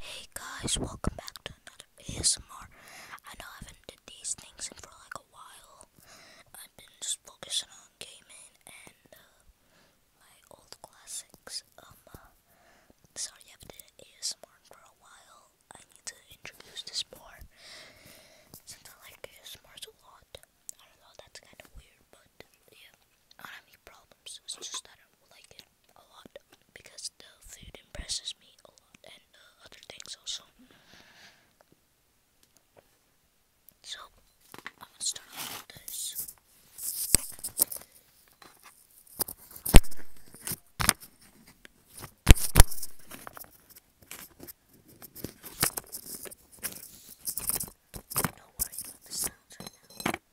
Hey guys, welcome back to another ASMR. I know I haven't did these things in for like a while. I've been just focusing on gaming and uh, my old classics. Um, uh, sorry, I haven't did ASMR for a while. I need to introduce this more since I like ASMRs a lot. I don't know, that's kind of weird, but yeah, I have any problems. It's just I don't like it a lot because the food impresses me a lot and uh, other things also. So, I'm start this.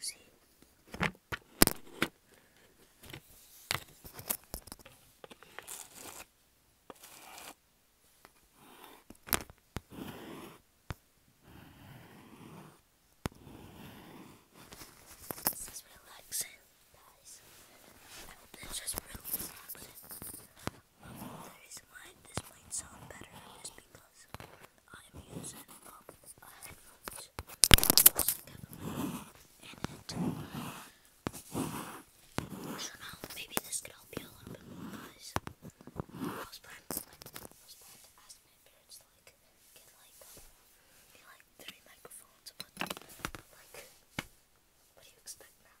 See? This is relaxing, guys. I hope this is really relaxing. why this might sound better is because I'm using maybe this could help you a little bit I was planning to ask my parents to like get like three microphones but like what do you expect now?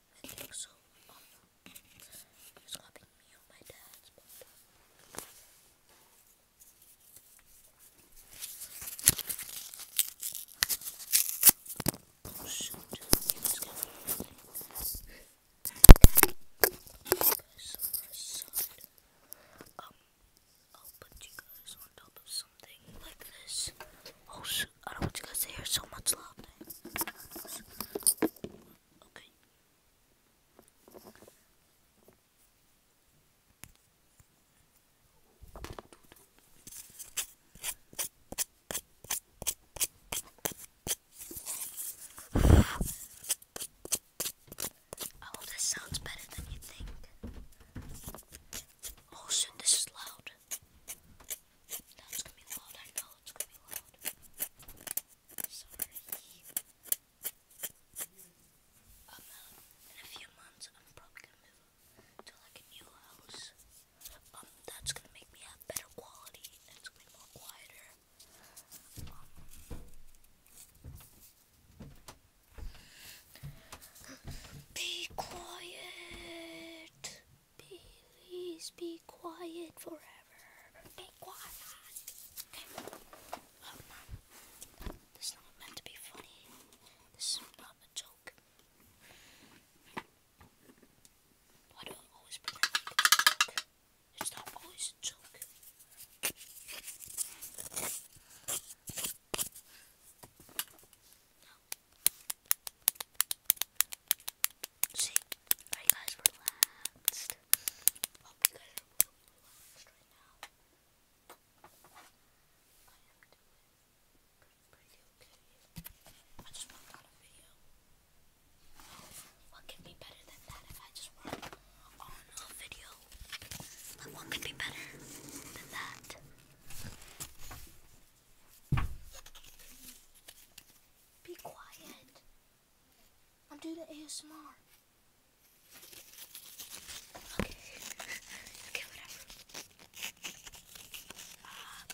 I think so. Oh no. He's copying me on my dad's photo. Oh shoot. It's gonna be guys I'll put you guys on top of something like this. Oh shoot. I don't want you guys to hear so much loud. Okay. I oh, this sounds better than you think. Oh, soon this is loud. Now gonna be loud, I know it's gonna be loud. Sorry. Um, in a few months, I'm probably gonna move to like a new house. Um, that's gonna make me have better quality and gonna be quieter. Um, be quiet. Please be quiet forever. Be quiet. Oh, this is not meant to be funny. This is not a joke. Why do I always pretend it's not always a joke. See, are you guys Hope you guys are really relaxed right now. I am doing pretty okay. I just worked on a a video? what could be better than that? Be quiet. I'm doing the ASMR. Okay. okay, whatever. Uh,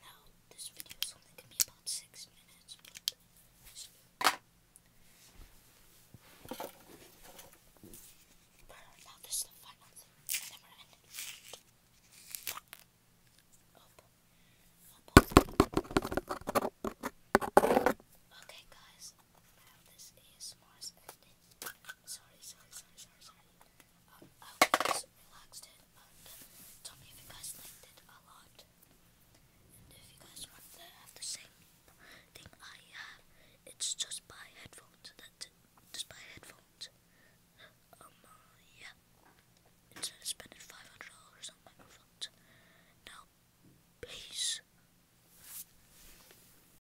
Now, this video is only going to be about six minutes, but now this is the final thing, and ending. Okay, guys, now this ASMR is ended sorry, sorry, sorry, sorry, sorry. I hope you and tell me if you guys liked it a lot. And if you guys want to have the same thing I have, it's just buy headphones. Just buy headphones. Um, uh, yeah. Instead of spending five hundred dollars on microphones. Now, peace.